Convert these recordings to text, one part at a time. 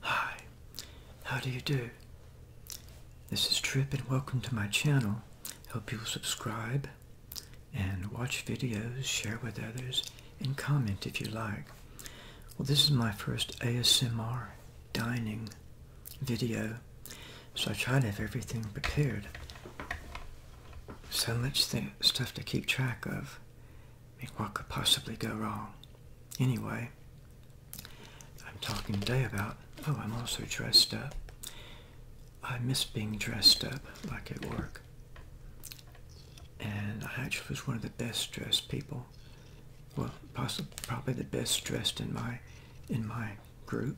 Hi, how do you do? This is Trip and welcome to my channel. Hope you'll subscribe and watch videos, share with others, and comment if you like. Well, this is my first ASMR dining video, so I try to have everything prepared. So much stuff to keep track of what could possibly go wrong? Anyway, I'm talking today about, oh, I'm also dressed up. I miss being dressed up, like at work. And I actually was one of the best dressed people. Well, possibly, probably the best dressed in my, in my group.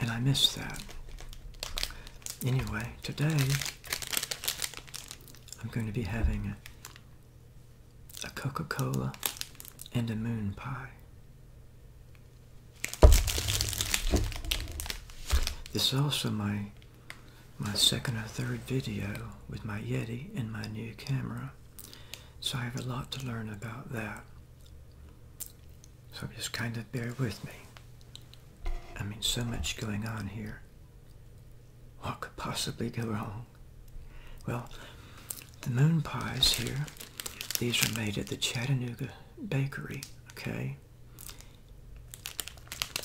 And I miss that. Anyway, today I'm going to be having a, a Coca Cola and a moon pie. This is also my my second or third video with my Yeti and my new camera. So I have a lot to learn about that. So just kind of bear with me. I mean, so much going on here. What could possibly go wrong? Well, the moon pies here, these are made at the Chattanooga Bakery, okay?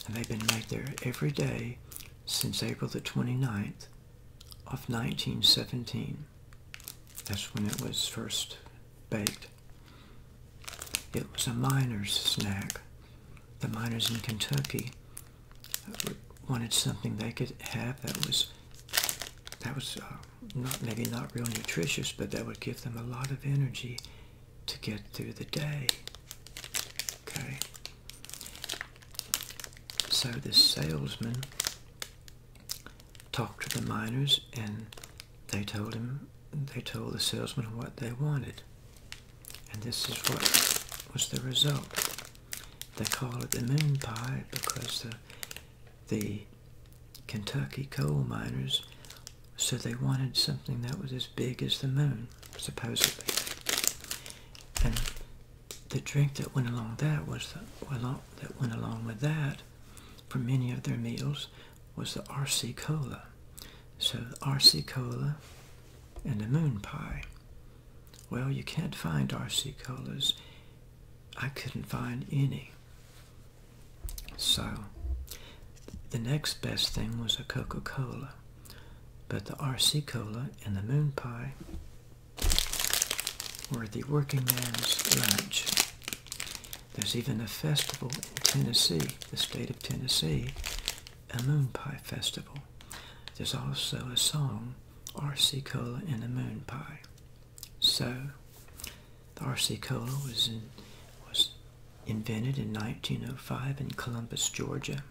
And they've been made there every day since April the 29th of 1917. That's when it was first baked. It was a miner's snack. The miners in Kentucky wanted something they could have that was that was uh, not maybe not real nutritious, but that would give them a lot of energy to get through the day. Okay. So the salesman talked to the miners, and they told him they told the salesman what they wanted. And this is what was the result. They call it the moon pie because the the Kentucky coal miners said they wanted something that was as big as the moon, supposedly. And the drink that went along that was the, well, that went along with that for many of their meals was the RC Cola. So the RC Cola and the Moon Pie. Well, you can't find RC Colas. I couldn't find any. So the next best thing was a Coca-Cola. But the RC Cola and the Moon Pie were the working man's lunch. There's even a festival in Tennessee, the state of Tennessee, a moon pie festival. There's also a song, R.C. Cola and a Moon Pie. So, the R.C. Cola was, was invented in 1905 in Columbus, Georgia.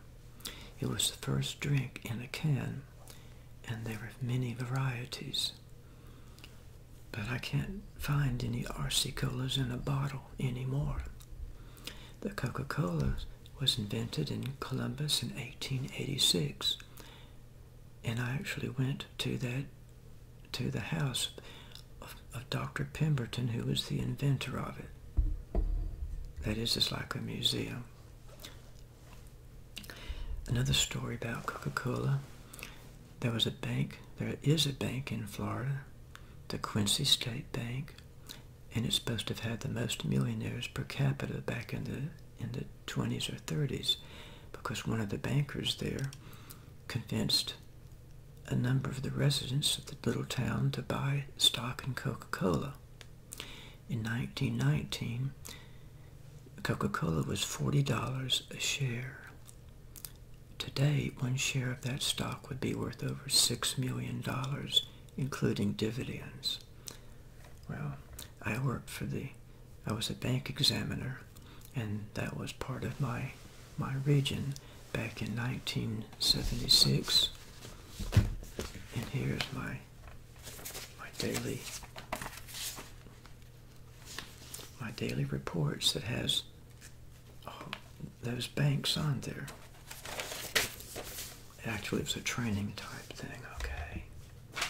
It was the first drink in a can, and there were many varieties. But I can't find any RC colas in a bottle anymore. The Coca Cola was invented in Columbus in 1886. And I actually went to that to the house of, Dr. Pemberton, who was the inventor of it. That is, just like a museum. Another story about Coca Cola. There was a bank, there is a bank in Florida the Quincy State Bank, and it's supposed to have had the most millionaires per capita back in the in the 20s or 30s, because one of the bankers there convinced a number of the residents of the little town to buy stock in Coca-Cola. In 1919, Coca-Cola was $40 a share. Today, one share of that stock would be worth over $6 million, including dividends. Well, I worked for the, I was a bank examiner, and that was part of my, my region back in 1976. And here's my, my daily, my daily reports that has oh, those banks on there. Actually, it was a training type thing, okay?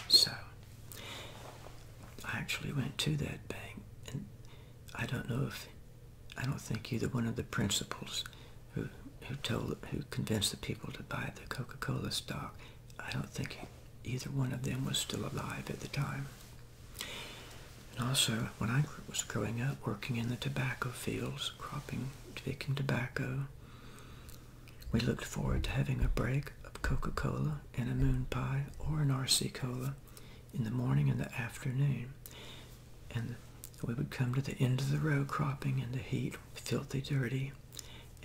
So, I actually went to that bank, and I don't know if, I don't think either one of the principals who, who told, who convinced the people to buy the Coca-Cola stock, I don't think either one of them was still alive at the time. And also, when I was growing up, working in the tobacco fields, cropping, picking tobacco, we looked forward to having a break of Coca Cola and a moon pie or an RC Cola in the morning and the afternoon. And we would come to the end of the row cropping in the heat, filthy dirty,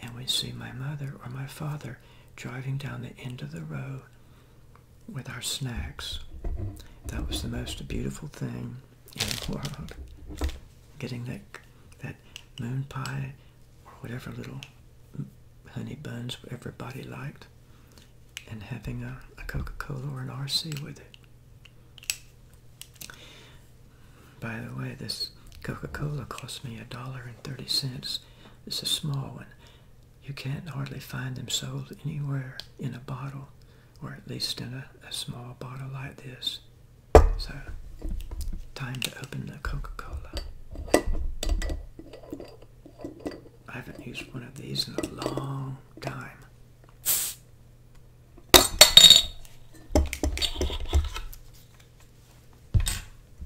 and we'd see my mother or my father driving down the end of the row with our snacks. That was the most beautiful thing in the world. Getting that that moon pie or whatever little honey buns everybody liked, and having a, a Coca-Cola or an RC with it. By the way, this Coca-Cola cost me a dollar and thirty cents. It's a small one. You can't hardly find them sold anywhere in a bottle, or at least in a, small bottle like this. So, time to open the Coca-Cola. I haven't used one of these in a long time.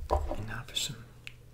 And now some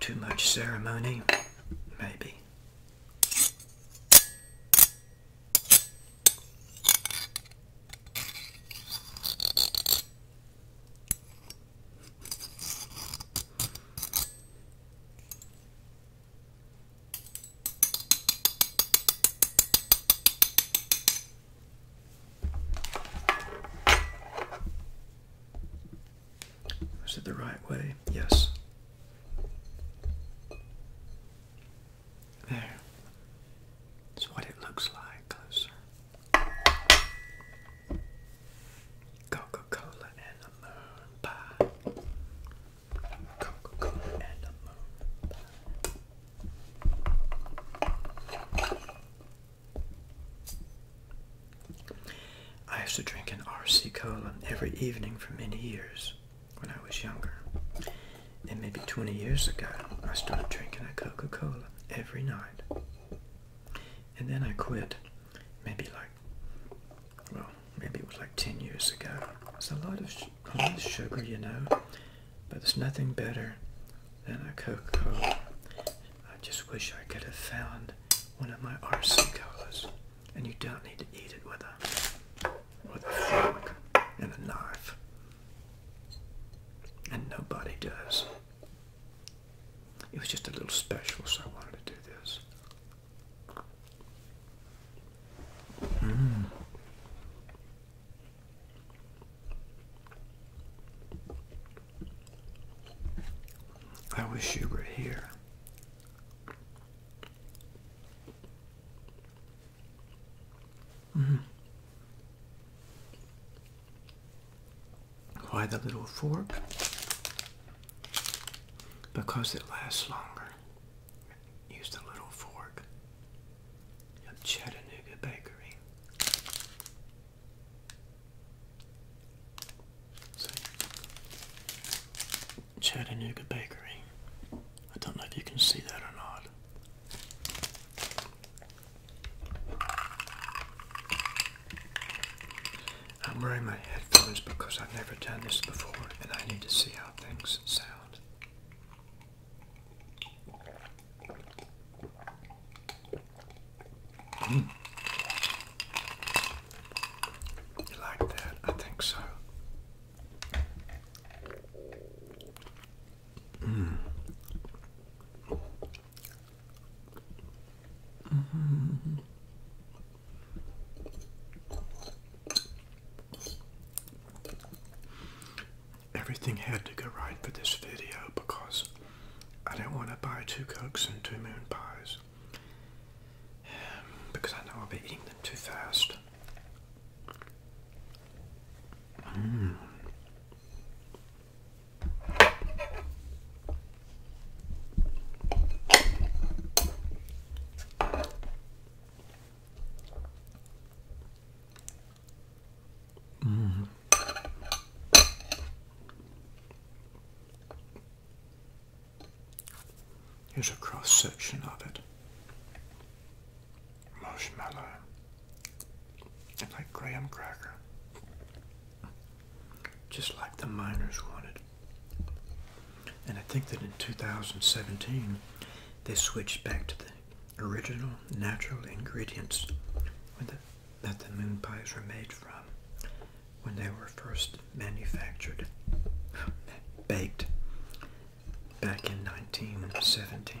Too much ceremony, maybe. Is it the right way? Yes. There. That's what it looks like closer. Coca-Cola and a moon pie. Coca-Cola and a moon pie. I used to drink an RC Cola every evening for many years when I was younger. And maybe 20 years ago, I started drinking a Coca Cola every night. And then I quit, maybe like, well, maybe it was like 10 years ago. It's a lot of the sugar, you know. But there's nothing better than a Coca-Cola. I just wish I could have found one of my RC colas. And you don't need to eat it with a with a fork and a knife. And nobody does. It was just a little special, so I wanted to do this. Mm. I wish you were here. Mm -hmm. Why the little fork? Because it lasts longer. Use the little fork. Chattanooga Bakery. So, Chattanooga Bakery. I don't know if you can see that or not. I'm wearing my headphones because I've never done this before and I need to see how things sound. Mm. You like that? I think so. Mm. -hmm everything had to go right for this video because I do not want to buy two cokes and two moon pies because I know I'll be eating them too fast. Hmm. Mm-hmm. Here's a cross section of it. Marshmallow. And like graham cracker. Just like the miners wanted. And I think that in 2017 they switched back to the original natural ingredients that the moon pies were made from when they were first manufactured, baked back in 1917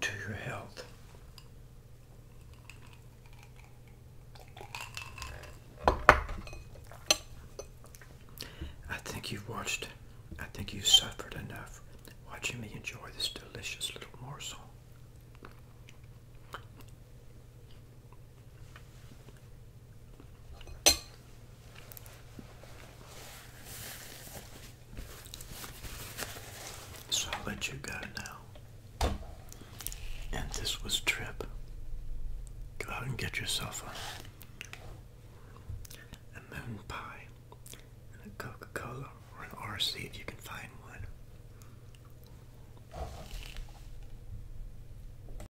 to your health. I think you've watched, I think you've suffered enough watching me enjoy this delicious little morsel. So i let you go now. And this was Trip. Go out and get yourself a, a pie and a Coca-Cola or an RC if you can find one.